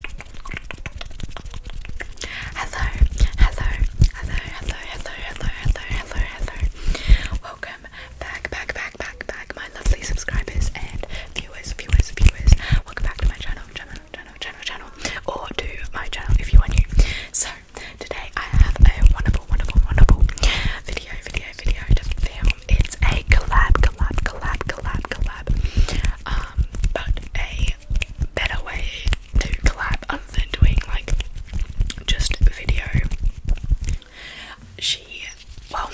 Hello, hello, hello, hello, hello, hello, hello, hello, hello. Welcome back, back, back, back, back, my lovely subscribers and viewers, viewers, viewers. Welcome back to my channel, channel, channel, channel, channel, or to my channel if you are new. So today I have a wonderful, wonderful, wonderful video, video, video to film. It's a collab, collab, collab, collab, collab. Um, but a better way to collab other than doing like just video. She, well,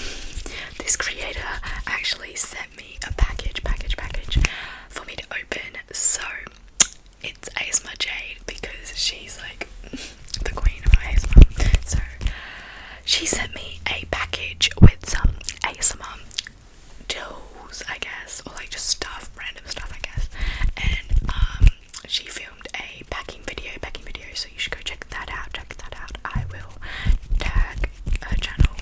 this creator actually sent me a package, package, package for me to open. So it's ASMR Jade because she's like the queen of ASMR. So she sent me a package with some ASMR toes, I guess, or like just stuff, random stuff, I guess. And um, she filmed a packing video, packing video. So you should go check that out. Check that out. I will tag her channel.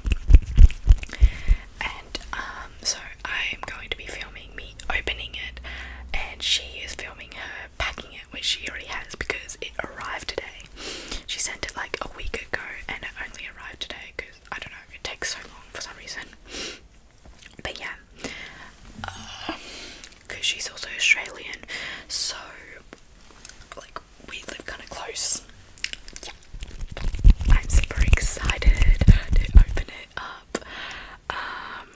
And um, so I am going to be filming me opening it, and she is filming her packing it, which she already has because it arrived today. She sent it like a week ago, and it only arrived today because I don't know, it takes so long for some reason. But yeah, because uh, she's also Australian, so like we live kind of close. Yeah. I'm super excited to open it up. Um,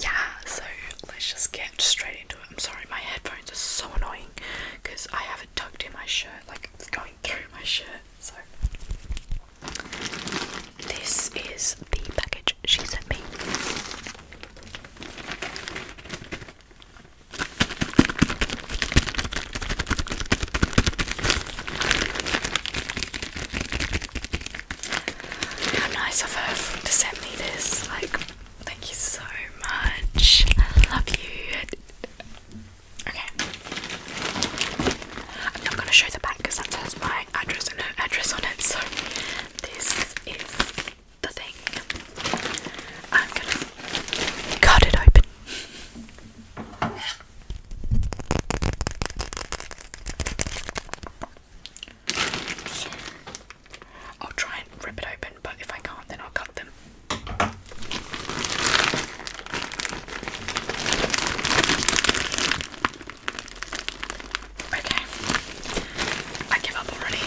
yeah, so let's just get straight into it. I'm sorry, my headphones are so annoying because I have tucked in my shirt, like it's going through my shirt. So, this is the package she sent me. How nice of her to send me this. Like, thank you so much. I love you. Okay. I'm not going to show the back because that has my address and her address on it. So this is the thing. I'm going to cut it open. I'll try and rip it open, but if I can't, then I'll cut them. Okay, I give up already.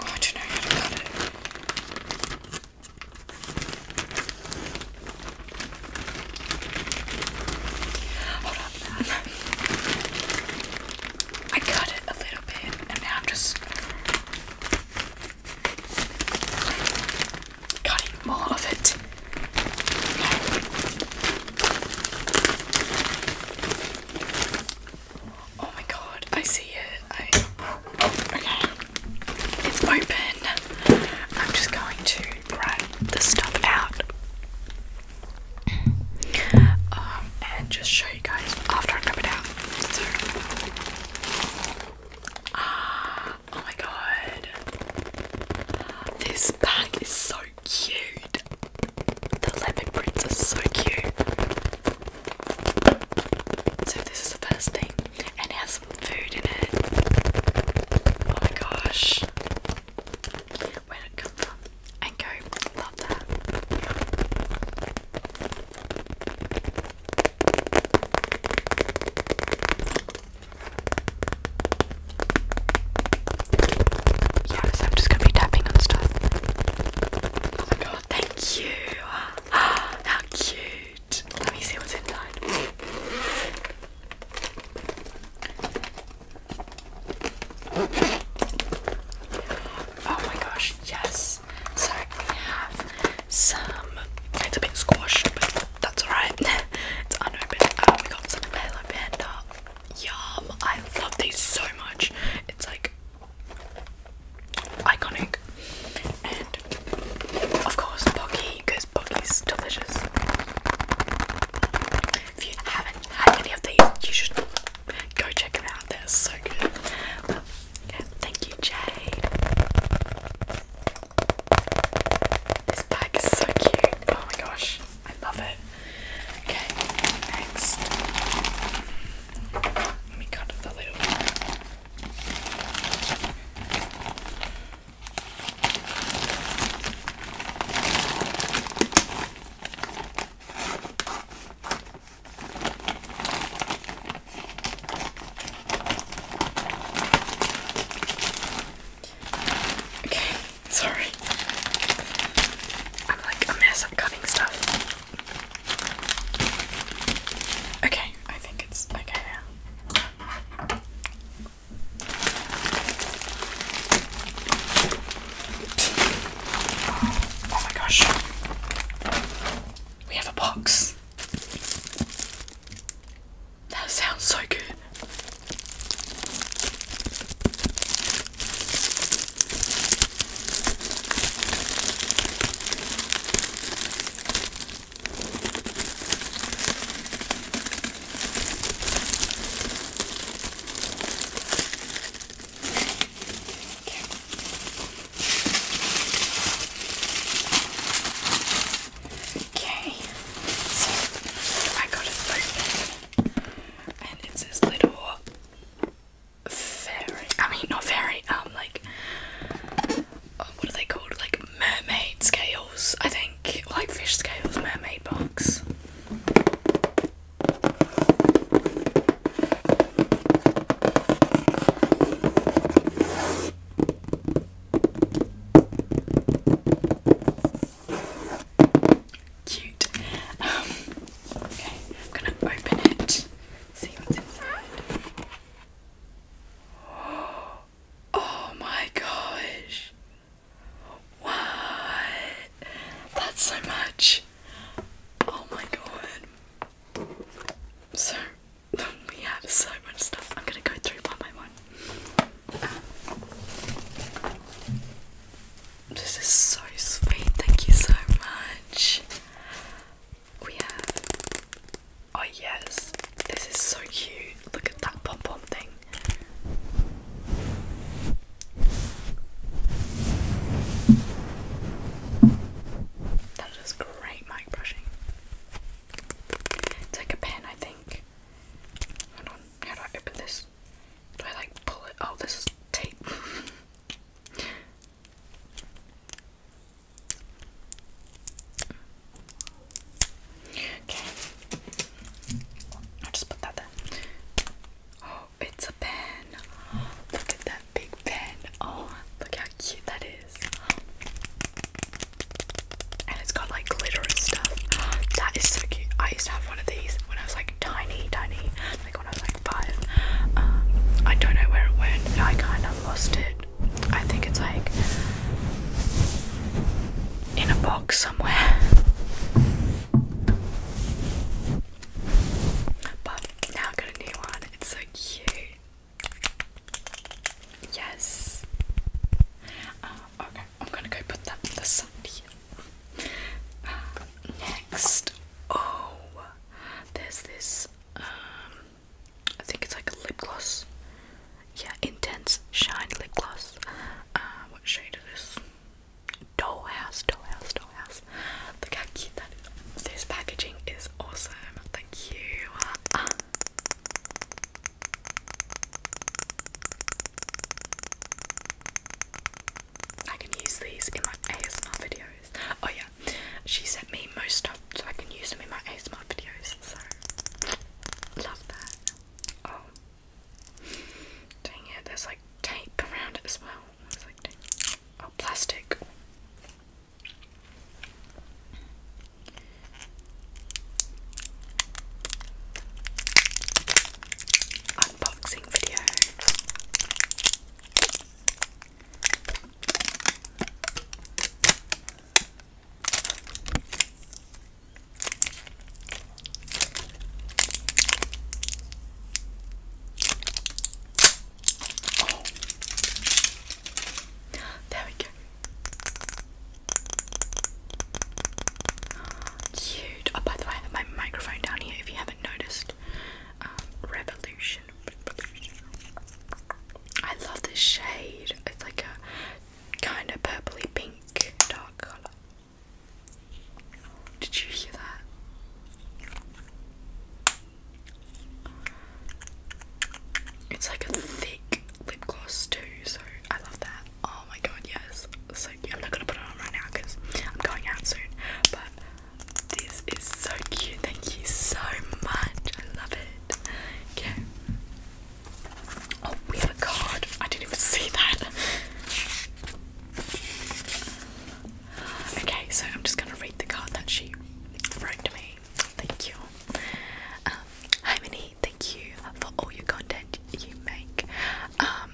Oh, I don't know how to cut it. Hold on. I cut it a little bit, and now I'm just cutting more of it. Oh my god, I see it. okay. It's open. I'm just going to grab the stuff out. Um, and just show you guys after I rub it out. ah, oh my god, this bag is so cute. The leopard prints are so cute. So this is the first thing, and it has some food in it. Oh my gosh, where did it come from? And go, love that. Yeah, I'm just gonna be tapping on stuff. Oh my god, thank you! How cute! Let me see what's inside. Oh my gosh, yes. So we have some, it's a bit squashed, but that's alright. it's unopened. Uh, we got some Palo Panda. Yum, I love these so much. It's like iconic. And of course, Pocky, because Pocky's delicious. If you haven't had any of these, you should Go check them out, they're so good. Well, yeah, thank you, Jade. This bag is so cute. Oh my gosh, I love it. Okay, next. Let me cut it a little Okay, sorry. I'm like a mess at cutting stuff. Okay, I think it's okay now. Oh my gosh. We have a box. That sounds so good. Okay, so I got it open, and it's this little fairy. I mean, not fairy. Um, like uh, what are they called? Like mermaid scales, I think, like fish scales, mermaid box. Cute. Um, okay, I'm gonna open it, see what's inside. Oh my gosh. What? That's so much. Oh my god. So, we have so much stuff. I'm gonna go through one by one. This is so sweet. Thank you so much. We have. Oh, yes. This is so cute. Look at that pom pom thing. That great mic brushing. Take a pen, I think. Hold on, how do I open this? Do I like pull it? Oh, this is tape. okay. I'll just put that there. Oh, it's a pen. Look at that big pen. Oh, look how cute that is. And it's got like glitter and stuff. That is so cute. I used to have one of these when I was like tiny, tiny, like when I was like five. Um, I don't know where it went. I kind of lost it. I think it's like in a box somewhere. But now i got a new one. It's so cute. Yes. Uh, okay, I'm gonna go put that on the side uh, next, oh, there's this. Um, I think it's like a lip gloss. Yeah, intense shine lip gloss. Uh, what shade is this? doll house, doll doll house. Look how cute that is. This packaging is awesome. Thank you. Uh, I can use these in my ASMR videos. Oh yeah, she sent me most stuff so I can use them in my ASMR videos. So love that. Oh, dang it! There's like tape around it as well. Oh, plastic. Unboxing video. There we go. Cute. Oh, by the way, I my microphone down here if you haven't noticed. Um, Revolution. I love this shade. It's like a kind of purpley pink dark colour. Did you hear that? It's like a thick lip gloss too, so I love that. Oh my god, yes. So I'm not gonna put it on right now because I'm going out soon. But this is so cute. Thank you so much. I love it. Okay. Oh, we have a card. I didn't even see that. Okay, so I'm just gonna read the card that she wrote to me. Thank you. Um, hi, Minnie. Thank you for all your content you make. Um,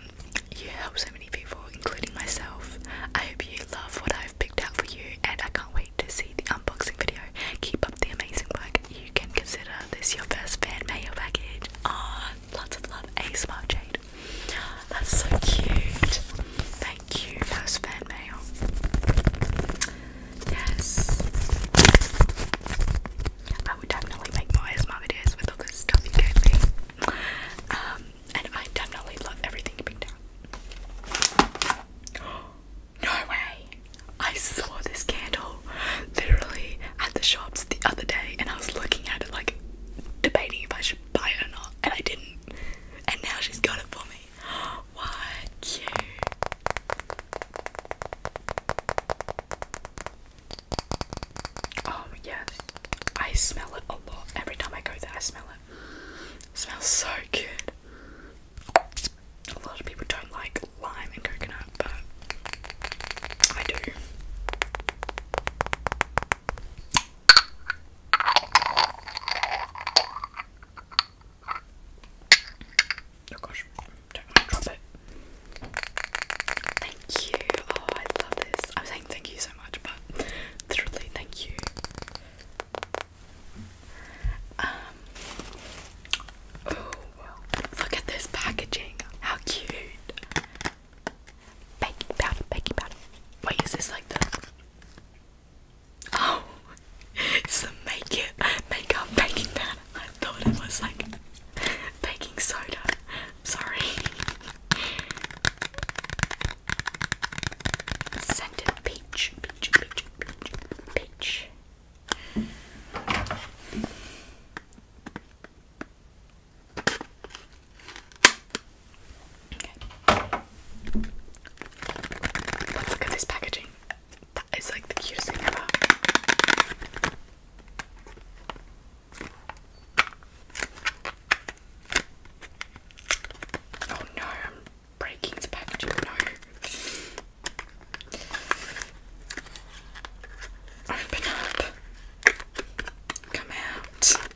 you help so many people, including myself. I hope you love what I've picked out for you, and I can't wait to see the unboxing video. Keep up the amazing work. You can consider this your first fan mail package. Ah, lots of love. A smile, Jade. That's so cute. Thank you. That fan mail. Yes. I would definitely make more ASMR videos with all this stuff you gave me. Um, and I definitely love everything you picked out. No way! I saw this candle literally at the shops the other day and I was looking at it like debating if I should buy it or not and I didn't and now she's got it for me. What Oh yes, I smell it a lot. Every time I go there, I smell it smells so good. A lot of people don't like lime and coconut, but I do. Oh gosh, don't drop it. Thank you. Oh, I love this. I'm saying thank you so much, but literally, thank you. Um. Oh, well, look at this packaging. How cute. Baking powder, baking powder. Wait, is this like the Oh it's the make it makeup baking powder. I thought it was like baking soda. Sorry. Scented peach, peach, peach, peach, peach. Let's look at this packaging. That is like the cutest thing ever. Oh no, I'm breaking the packaging. No. Open up. Come out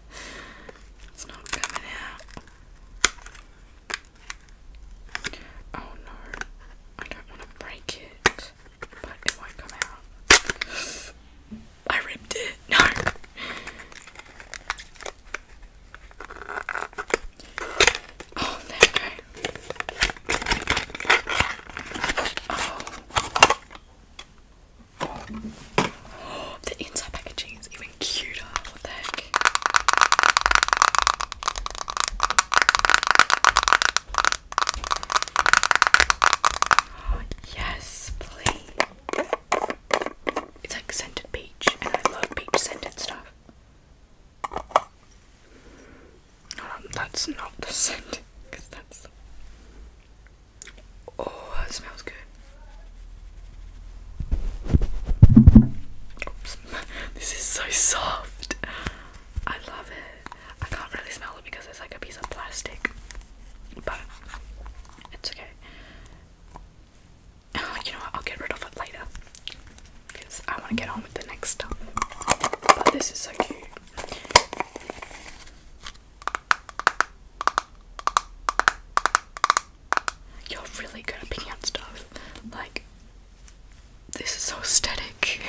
it's not coming out. Oh no, I don't want to break it, but it won't come out. I ripped it. No. Oh, there we go. Oh. the inside packaging is even cuter. What the heck? yes, please. It's like scented peach, and I love peach scented stuff. Um, that's not the scent, because that's. Oh, that smells good. this is so soft. I love it. I can't really smell it because it's like a piece of plastic. But it's okay. you know I'll get rid of it later. Because I want to get on with the next stuff. But this is so cute. You're really good at picking stuff. Like, this is so aesthetic.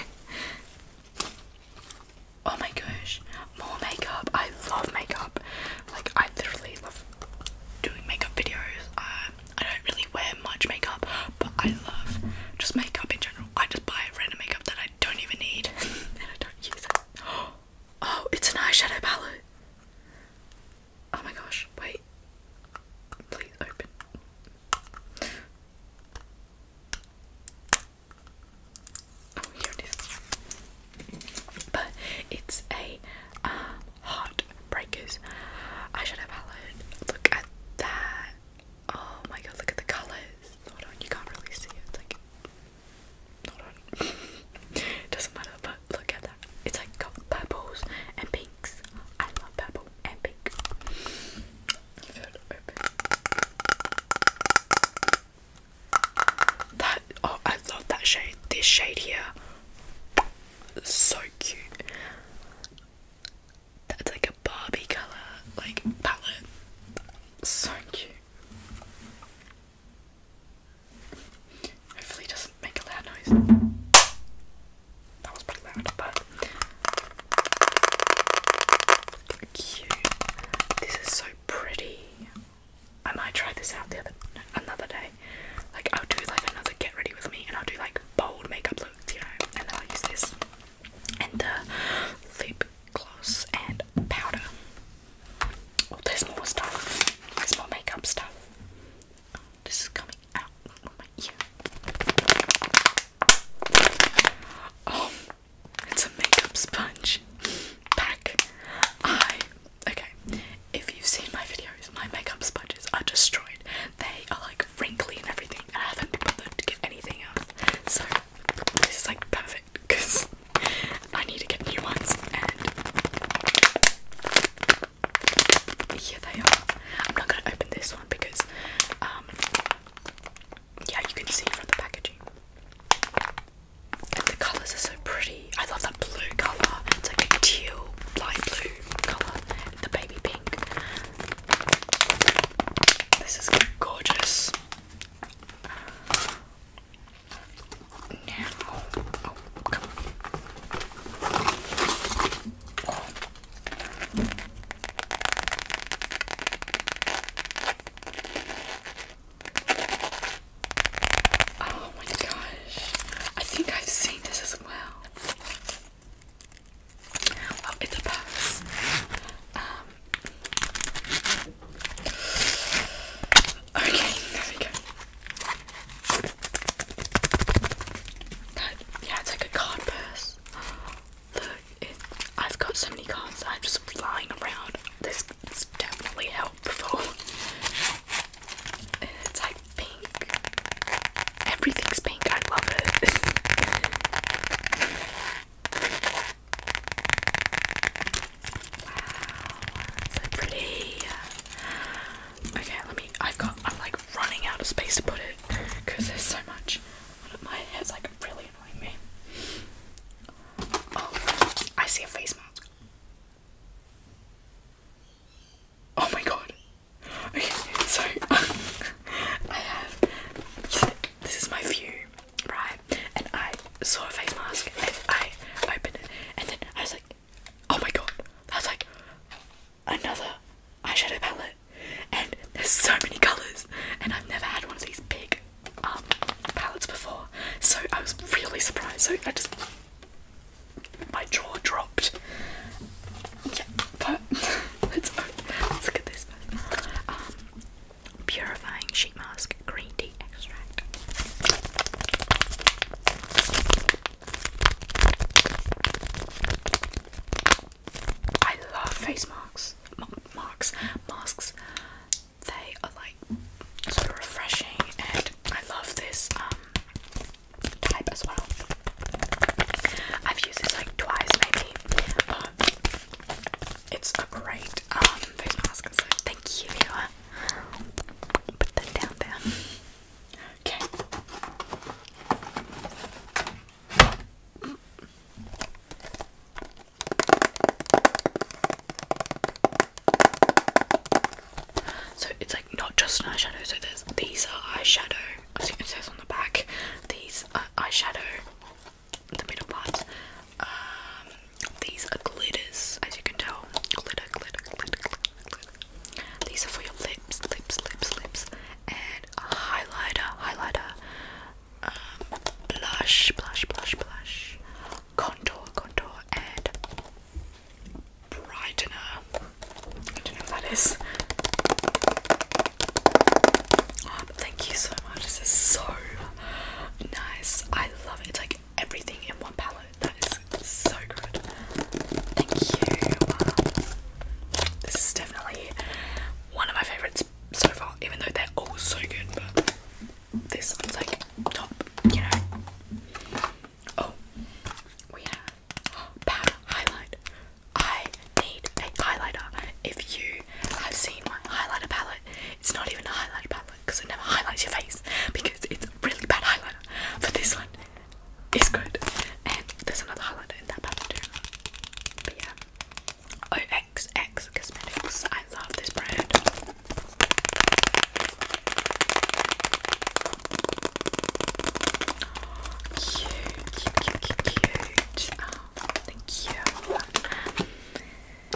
oh my gosh, more makeup. I love makeup. Like, I literally love doing makeup videos. Um, I don't really wear much makeup, but I love just makeup in general. I just buy random makeup that I don't even need and I don't use Oh, it's an eyeshadow palette. Oh my gosh, wait. Please open. Oh, here it is. But it's a um, Heartbreakers eyeshadow palette. Look at that. Oh my god, look at the colours. you can't really see it. Doesn't matter, but look at that. It's like got purples and pinks. I love purple and pink. That oh I love that shade. This shade here. So cute. That's like a Barbie colour, like palette. So cute. Hopefully it doesn't make a loud noise. That was pretty loud, but cute. This is so pretty. I might try this out the other another day. Like I'll do like another get ready with me, and I'll do like bold makeup looks, you know. And then I'll use this and the lip gloss and powder. Oh, there's more stuff. There's more makeup stuff. this is coming out of my ear. Oh, it's a makeup sponge pack. I okay. If you've seen my videos, my makeup sponges are destroyed. They are like wrinkly and everything, I haven't bothered to get anything else. So this is like perfect because I need to get new ones, and here they are. I'm not gonna open this one because, um, yeah, you can see from the packaging. the colours are so pretty. I love that blue colour. It's like a teal, light blue colour. The baby pink. This is gorgeous oh, my gosh. I think I've seen this as well. Oh, it's a purse. Um, okay, there we go yeah, it's like a card purse. Look, I've got so many cards I'm just flying around. This is definitely helpful. It's like pink. Everything's pink, I love it. so pretty. Okay, let me. I've got. I'm like running out of space to put it because there's so much. My head's like really annoying me. Oh, I see a face mask. Oh my god. Okay, so I have. This is my view, right? And I saw a face mask and I opened it and then I was like, oh my god, that's like another eyeshadow palette, and there's so many colors, and I've never had one of these big um, palettes before, so I was really surprised. So I just my jaw dropped. Yeah, but let's, let's look this. Um, purifying sheet mask green tea extract. I love face marks, M masks. They are like so refreshing, and I love this um, type as well. I've used this like twice, maybe. it's a great um, face mask. thank you, Put that down there. Okay. So it's like not just an eyeshadow, so there's these are eyeshadow. As I think it says on the back. These are eyeshadow the middle part. Um, these are glitters, as you can tell. Glitter, glitter, glitter, glitter, These are for your lips, lips, lips, lips. And a highlighter, highlighter. Um, blush, blush, blush, blush. Contour, contour, and brightener. I don't know what that is. Um, thank you so much. This is so nice. I love it. like everything in one palette. That is so good. Thank you. this is definitely one of my favorites so far, even though they're all so good. But this one's like top, you know. Oh, we have powder highlight. I need a highlighter. If you have seen my highlighter palette, it's not even a highlighter palette because it never highlights your face because it's a really bad highlighter. But this one is good. And there's another highlighter in that pattern too. But yeah. OXX Cosmetics. I love this brand. Cute, cute, cute, cute, cute. Oh, thank you.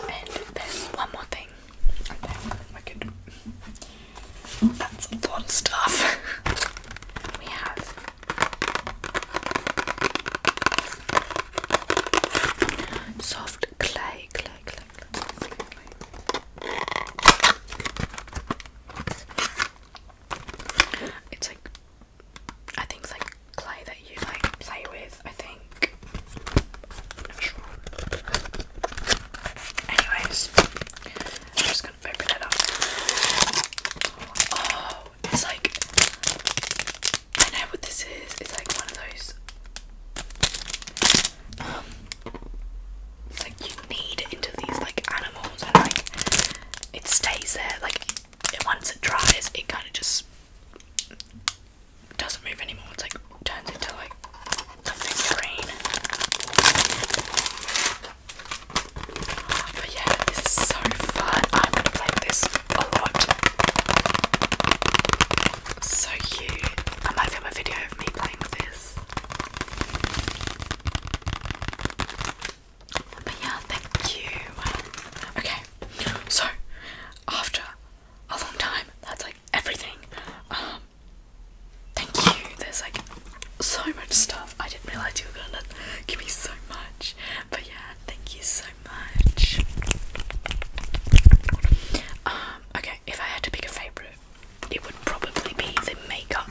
And there's one more thing. That's a lot of stuff. we have soft clay, clay, clay, clay, It's like I think it's like clay that you like play with. I think. Anyways, I'm just gonna open it up. Oh, it's like I know what this is. It's like one of those. it's um, like you knead it into these like animals, and like it stays there. Like it, once it dries, it kind of just doesn't move anymore. It's like turns into like something green. But yeah, this is so fun. I'm gonna play this a lot. So cute. I might film a video of me playing with this. But yeah, thank you. Okay, so after a long time, that's everything. Um, thank you. There's like so much stuff. I didn't realize you were gonna give me so much. But yeah, thank you so much. Um, okay, if I had to pick a favorite, it would probably be the makeup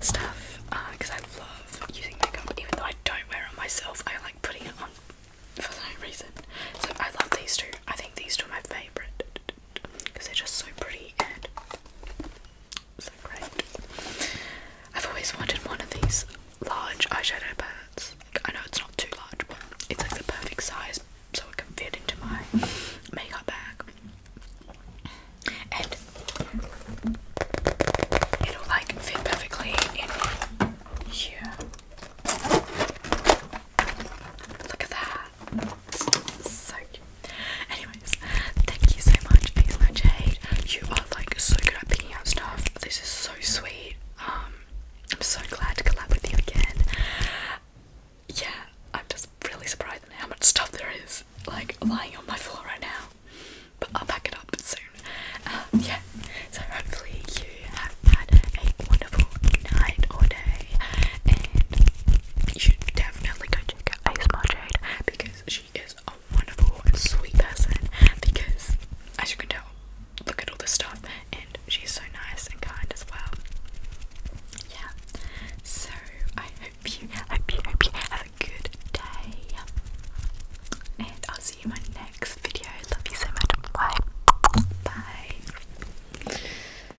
stuff because uh, I love using makeup, even though I don't wear it myself. I like putting it on for no reason. So I love these two. I think these two are my favorite because they're just so pretty and so great. I've always wanted one of these large eyeshadow pads. I know it's not too large, but it's like the perfect size so it can fit into my makeup bag. And it'll like fit perfectly in here. Look at that. So cute. Anyways, thank you so much, Isla Jade. You are like so good at picking out stuff. This is so sweet. Um, I'm so glad to collab with you again. Yeah, I'm just really surprised at how much stuff there is like lying on my floor right now. But I'll pack it up soon. Um, yeah, so hopefully you have had a wonderful night or and you should definitely go check out Ace Marjade because she is a wonderful sweet person. Because, as you can tell, look at all this stuff, and she's so nice and kind as well. Yeah. So I hope you, hope you, hope you have a good day, and I'll see you in my next video. Love you so much. Bye. Bye.